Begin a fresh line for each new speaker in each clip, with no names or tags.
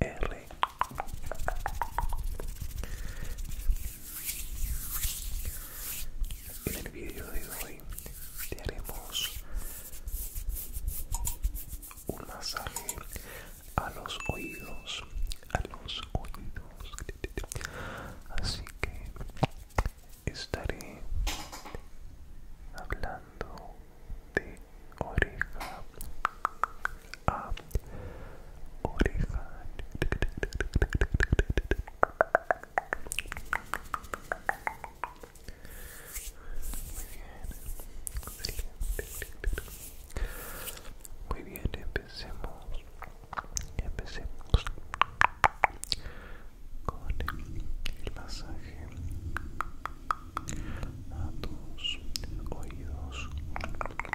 En el vídeo de hoy te haremos un masaje a los oídos, a los oídos. Así que estaré hablando de oreja a Muy bien, Muy bien empecemos. Empecemos con el masaje a tus oídos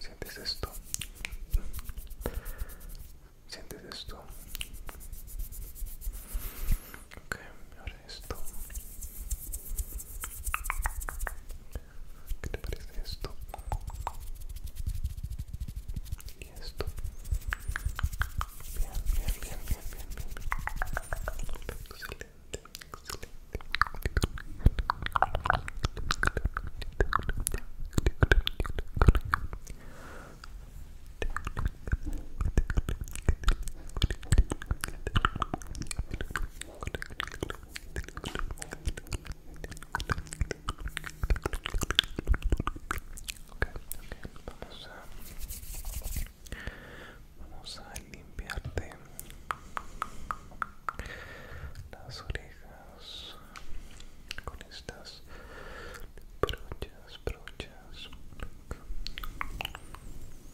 ¿Sientes esto? ¿Sientes esto? esto? ¿Qué te parece esto? Y esto. Bien, bien, bien, bien, bien, bien. Excelente, excelente okay, vamos a vamos a limpiarte las orejas con estas brochas brochas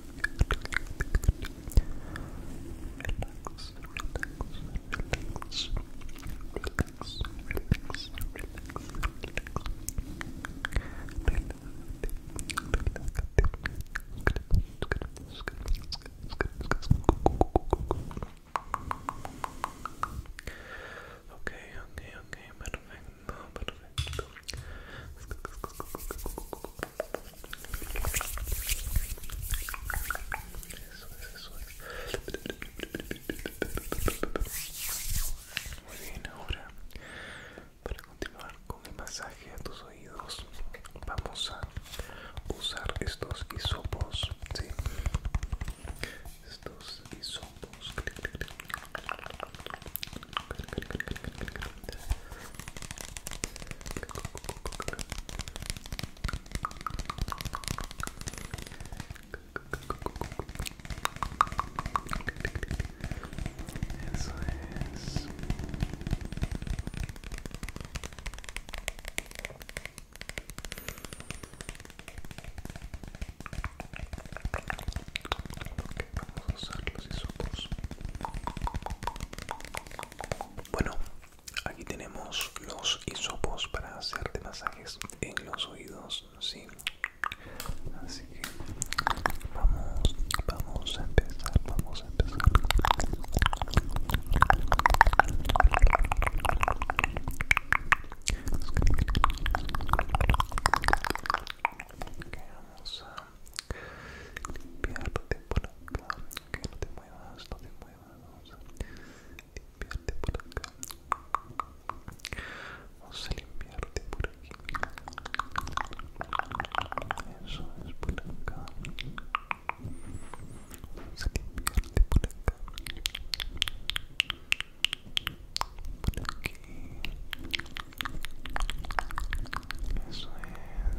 relax, relax, relax, relax, Okay, okay, okay, perfecto, perfecto. Eso Muy bien, ahora para continuar con el masaje a tus oídos, vamos a usar estos hisopos, ¿sí? Estos hisopos. Eso é es. Ok, vamos a usar los hisopos. Bueno, aquí tenemos los hisopos para hacerte masajes en los oídos, sí. Así que vamos, vamos a empezar, vamos a empezar. a limpiarte por acá que no te muevas no te muevas limpiarte por acá vamos a limpiarte por aquí eso es por acá vamos a limpiarte por acá por aquí eso es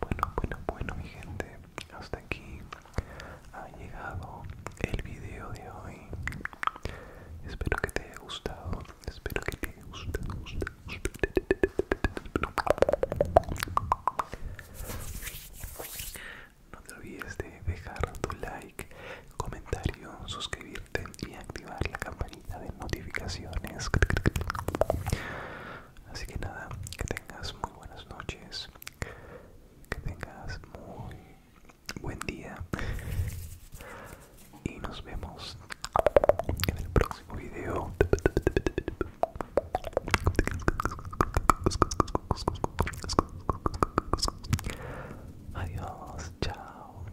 Bueno, bueno, bueno, mi gente, hasta aquí ha llegado el video de hoy. Espero que te haya gustado, espero que te haya gustado. No te olvides de dejar tu like, comentario, suscribirte y activar la campanita de notificaciones. Así que nada, que tengas muy buenas noches, que tengas muy buen día y nos vemos en el próximo video. Adiós, chao.